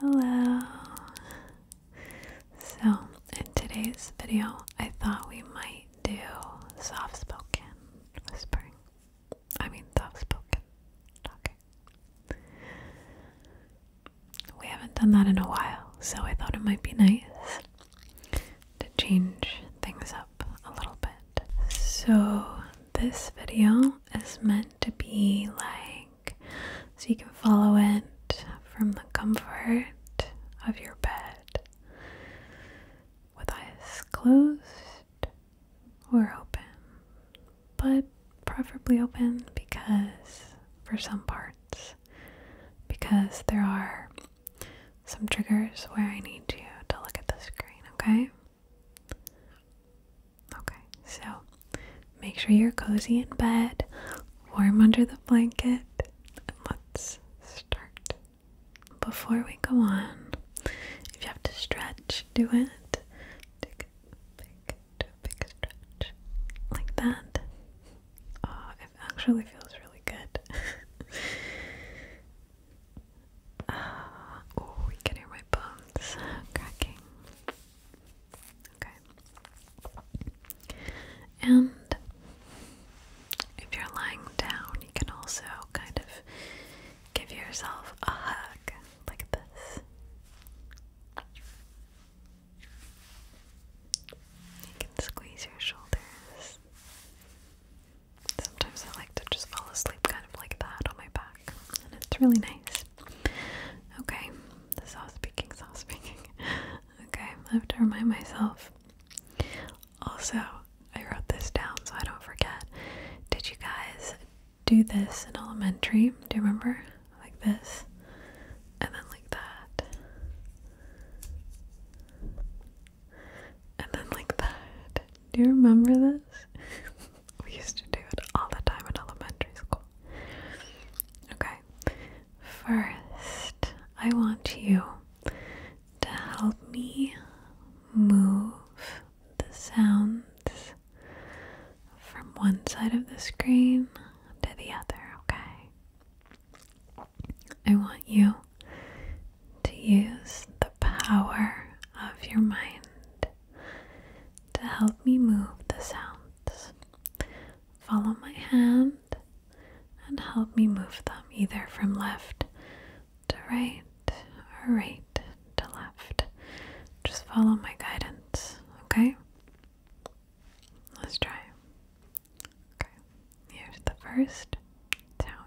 Hello. So, in today's video, I thought we might do soft spoken whispering. I mean, soft spoken talking. We haven't done that in a while, so I thought it might be nice to change things up a little bit. So, this video is meant to be like so you can follow it from the comfort of your bed with eyes closed or open, but preferably open because for some parts, because there are some triggers where I need you to look at the screen, okay? Okay, so make sure you're cozy in bed, warm under the blanket, and let's start. Before we go on, if you have to stretch, do it. Take a big, do big stretch like that. Oh, it actually feels really good. Ah, oh, you can hear my bones cracking. Okay. And if you're lying down, you can also kind of give yourself a hug like this. You can squeeze your shoulders. Sometimes I like to just fall asleep kind of like that on my back and it's really nice. Okay, soft speaking, soft speaking. Okay, I have to remind myself. Also, I wrote this down so I don't forget. Did you guys do this in elementary? Do you remember? Like this, and then like that, and then like that. Do you remember this? We used to do it all the time in elementary school. Okay, first, I want you to help me move the sounds from one side of the screen to the other, okay? I want you to use the power of your mind to help me move the sounds. Follow my hand and help me move them either from left to right or right to left. Just follow my guidance, okay? Let's try. Okay, here's the first sound.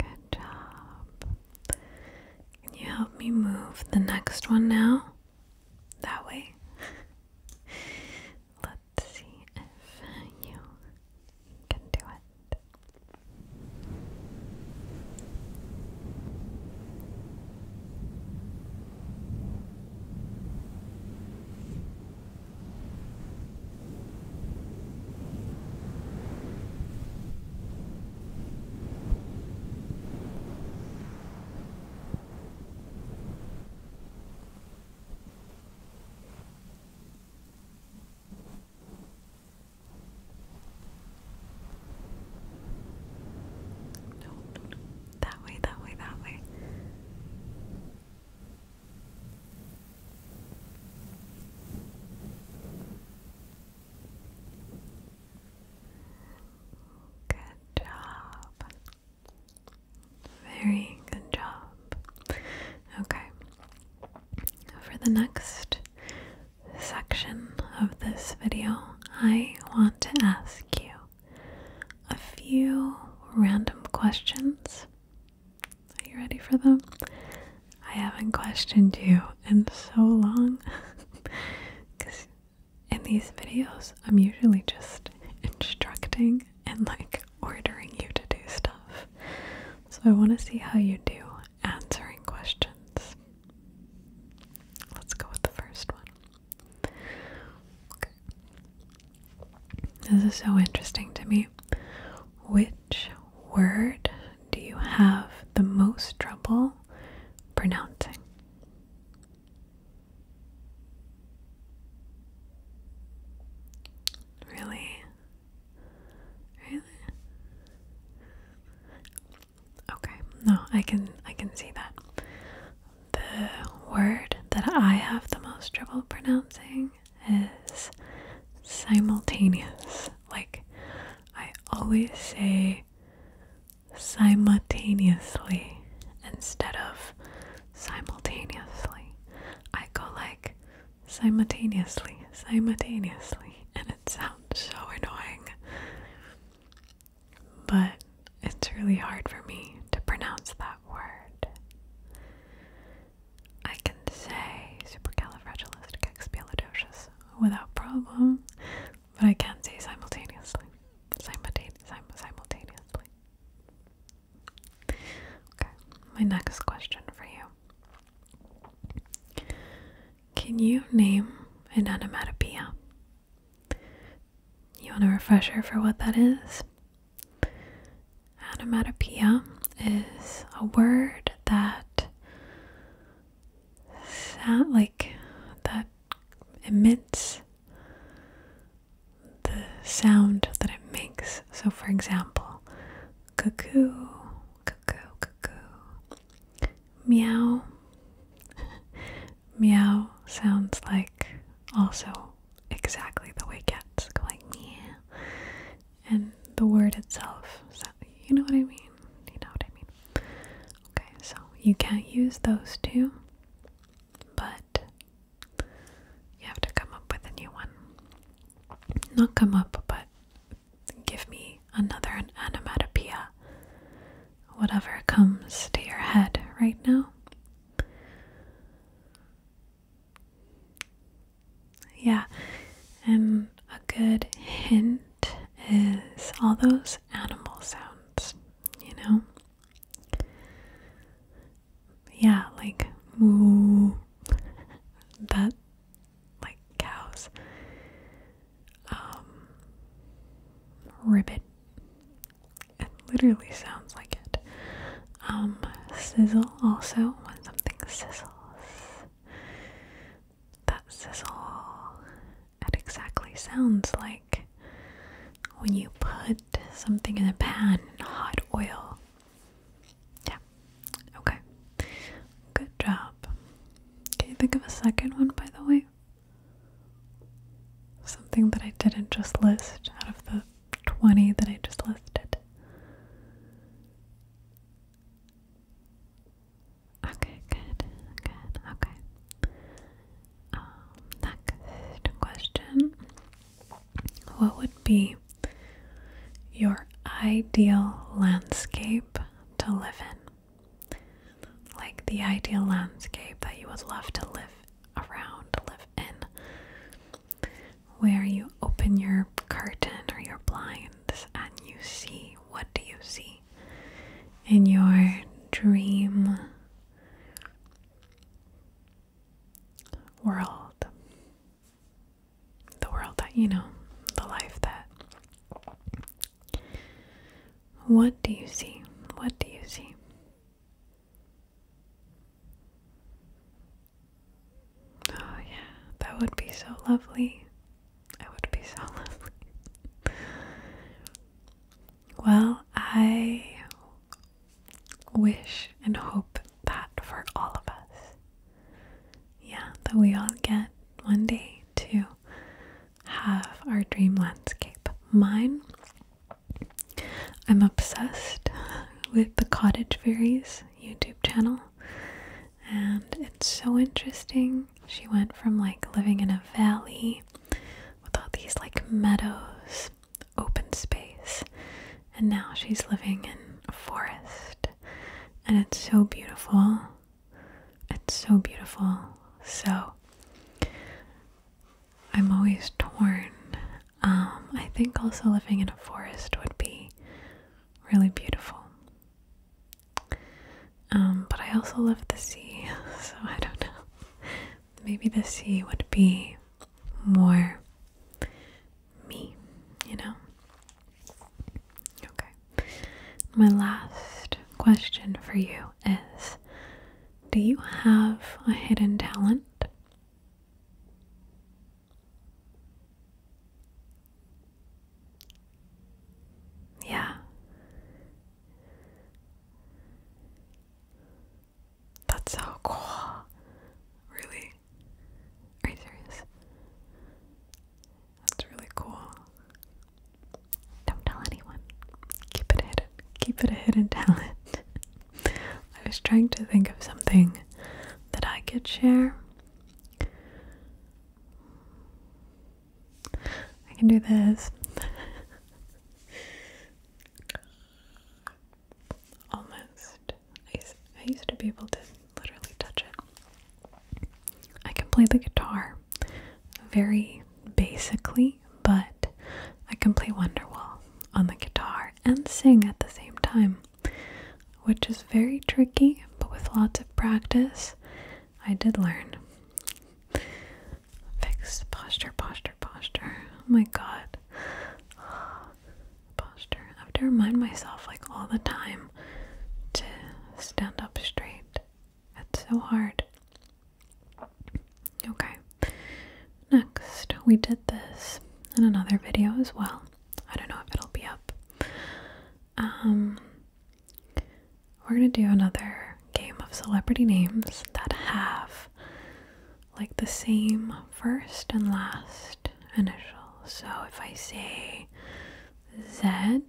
Good job. Can you help me move the next one now? That way. Let's see if you can do it. No, no, no. That way, that way, that way. Good job. Very good job. Okay. For the next section of this video, I want to ask you a few random questions. Are you ready for them? I haven't questioned you in so long. Because in these videos, I'm usually just instructing and like ordering you to do stuff. So I want to see how you do answering questions. Let's go with the first one. This is so interesting to me. Which word do you have the most trouble pronouncing? Really? Really? Okay. No, I can I can see that the word that I have the most trouble pronouncing is simultaneous. Like, I always say simultaneously instead of simultaneously. I go like simultaneously, simultaneously, and it sounds so annoying but it's really hard for me to pronounce that word. I can say supercalifragilisticexpialidocious without problem, but I can't say simultaneously. Simultane simultaneously. Okay, my next question for you. Can you name an onomatopoeia? You want a refresher for what that is? Onomatopoeia is a word that like that emits the sound that it makes. So for example, cuckoo, cuckoo, cuckoo, meow. meow sounds like also exactly the way cats like me, and the word itself. So, you know what I mean? You know what I mean? Okay, so you can't use those two, but you have to come up with a new one. Not come up, but give me another onomatopoeia. Whatever comes to your head right now, yeah, and a good hint is all those animal sounds, you know? Yeah, like moo, that, like cows, um, ribbit, it literally sounds like it. Um, sizzle also, when something sizzles. That sizzle, it exactly sounds like when you put something in a pan in hot oil. Yeah, okay. Good job. Can you think of a second one, by the way? Something that I didn't just list out of the 20 that I just listed. Okay, good, good, okay. Um, next question What would be your ideal landscape to live in? Like the ideal landscape that you would love to live around, live in, where you open your curtain or your blinds and you see what do you see in your dream world, the world that you know, the life that. What do you see? What do you see? Oh, yeah, that would be so lovely. It would be so lovely. well, I wish and hope that for all of us. Yeah, that we all get one day to have our dream landscape. Mine I'm obsessed with the Cottage Fairies YouTube channel, and it's so interesting. She went from like living in a valley with all these like meadows, open space, and now she's living in a forest, and it's so beautiful. It's so beautiful. So, I'm always torn. Um, I think also living in a forest would be really beautiful. Um, but I also love the sea, so I don't know. Maybe the sea would be more me, you know? Okay. My last question for you is do you have a hidden talent? Yeah. That's so cool. Really? Are you serious? That's really cool. Don't tell anyone. Keep it hidden. Keep it a hidden talent. I was trying to think of something that I could share. I can do this. Almost. I used, to be able to literally touch it. I can play the guitar very basically but I can play Wonderwall on the guitar and sing at the same time, which is very tricky, but with lots of practice, I did learn. Fix posture, posture, posture. Oh my god. Posture. I have to remind myself, like, all the time to stand up straight. It's so hard. Okay. Next, we did this in another video as well. I don't know if it'll be up. Um, we're gonna do another game of celebrity names that have like the same first and last initials. So if I say Z,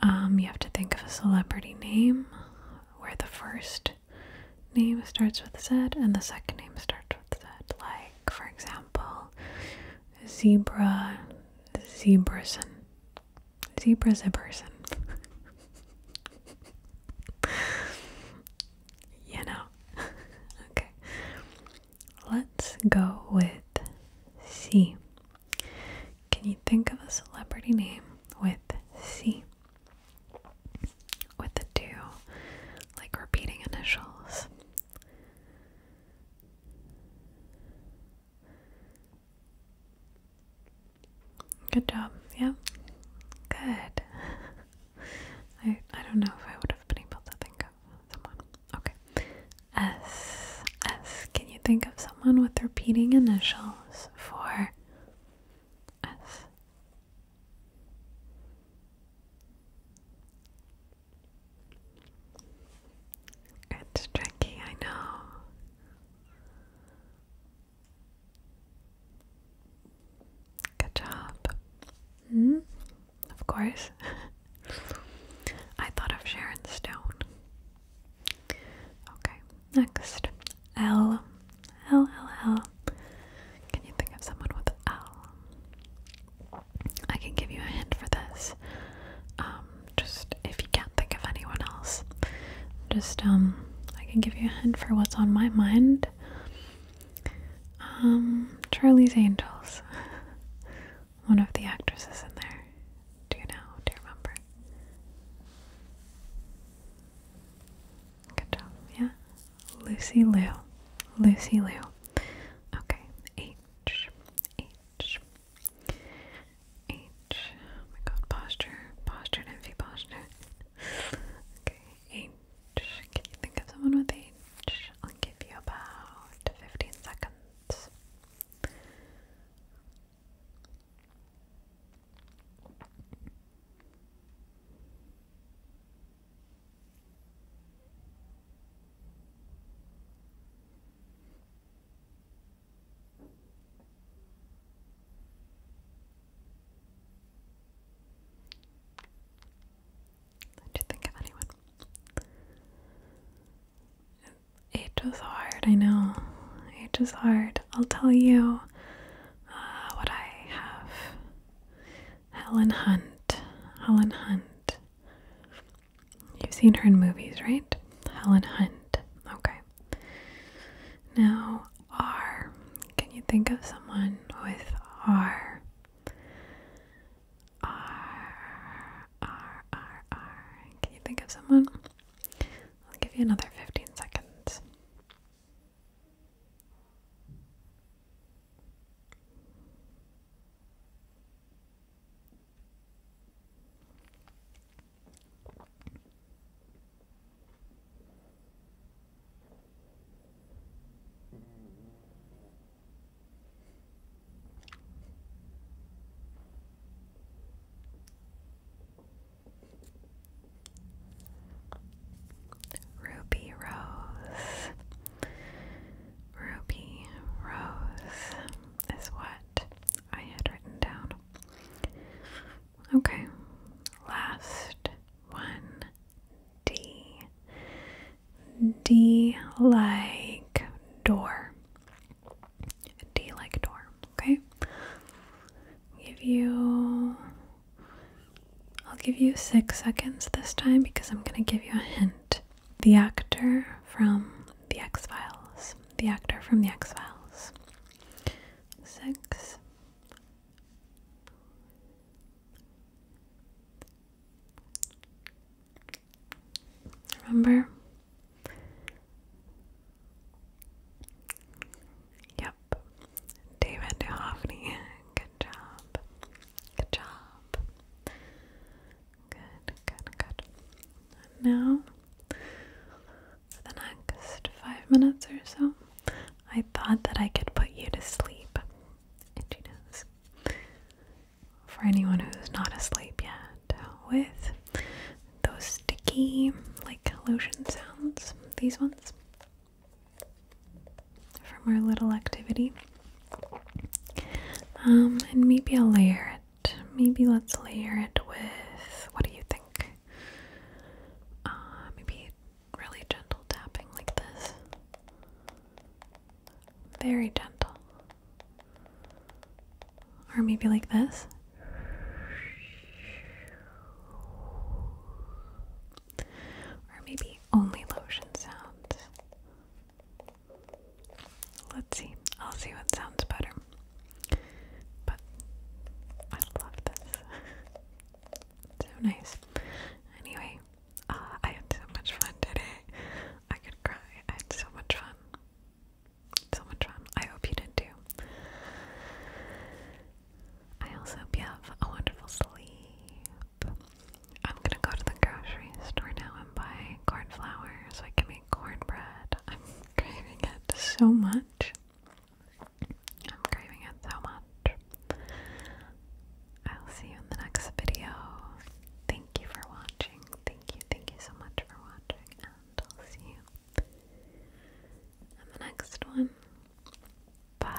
um, you have to think of a celebrity name where the first name starts with Z and the second name starts with Z. Like, for example, Zebra Zebrason. Zebra Zebrason. you know. okay. Let's go with C. Can you think of a celebrity name with C? With the two, like repeating initials. Good job. Yeah. Good. I I don't know if I would have been able to think of someone. Okay. S S. Can you think of someone with repeating initials? for us. It's tricky, I know. Good job. -hmm. Of course. I thought of Sharon Stone. Okay, next. L. L, L, L. Can you think of someone with L? I can give you a hint for this. Um, just if you can't think of anyone else, just, um, I can give you a hint for what's on my mind. Um, Charlie's Angels. One of the actresses in there. Do you know? Do you remember? Good job. Yeah. Lucy Lou. Lucy Lou. Okay. H. H. H. Oh my god. Posture. Posture. Envy. Posture. okay. H. Can you think of someone with H? I'll give you about 15 seconds. Did you think of anyone? It was hard, I know. It was hard. I'll tell you uh, what I have. Helen Hunt. Helen Hunt. You've seen her in movies, right? Helen Hunt. Okay. Now, R. Can you think of someone with R? R, R, R, R. Can you think of someone? I'll give you another 15 seconds. Ruby Rose. Ruby Rose is what I had written down. Okay, last one D. D like door. D like door, okay? Give you I'll give you six seconds this time because I'm gonna give you a hint. The actor from the X Files. The actor from the X Files. Six. Remember? Yep. David Duhovny. Good job. Good job. Good, good, good. now, for the next five minutes or so, I thought that I could put you to sleep. For anyone who's not asleep yet, with those sticky, like lotion sounds, these ones from our little activity. Um, and maybe I'll layer it. Maybe let's layer it with what do you think? Uh, maybe really gentle tapping like this. Very gentle. Or maybe like this. Or maybe only lotion sounds. Let's see. I'll see what sounds better. But I love this. so nice. Anyway, uh, I had so much fun today. I could cry. I had so much fun so much fun. I hope you did too. I also hope you have a wonderful sleep. I'm gonna go to the grocery store now and buy cornflour so I can make cornbread. I'm craving it so much. I'm craving it so much. I'll see you in the next video. Thank you for watching. Thank you, thank you so much for watching. I'll see you in the next one. Bye.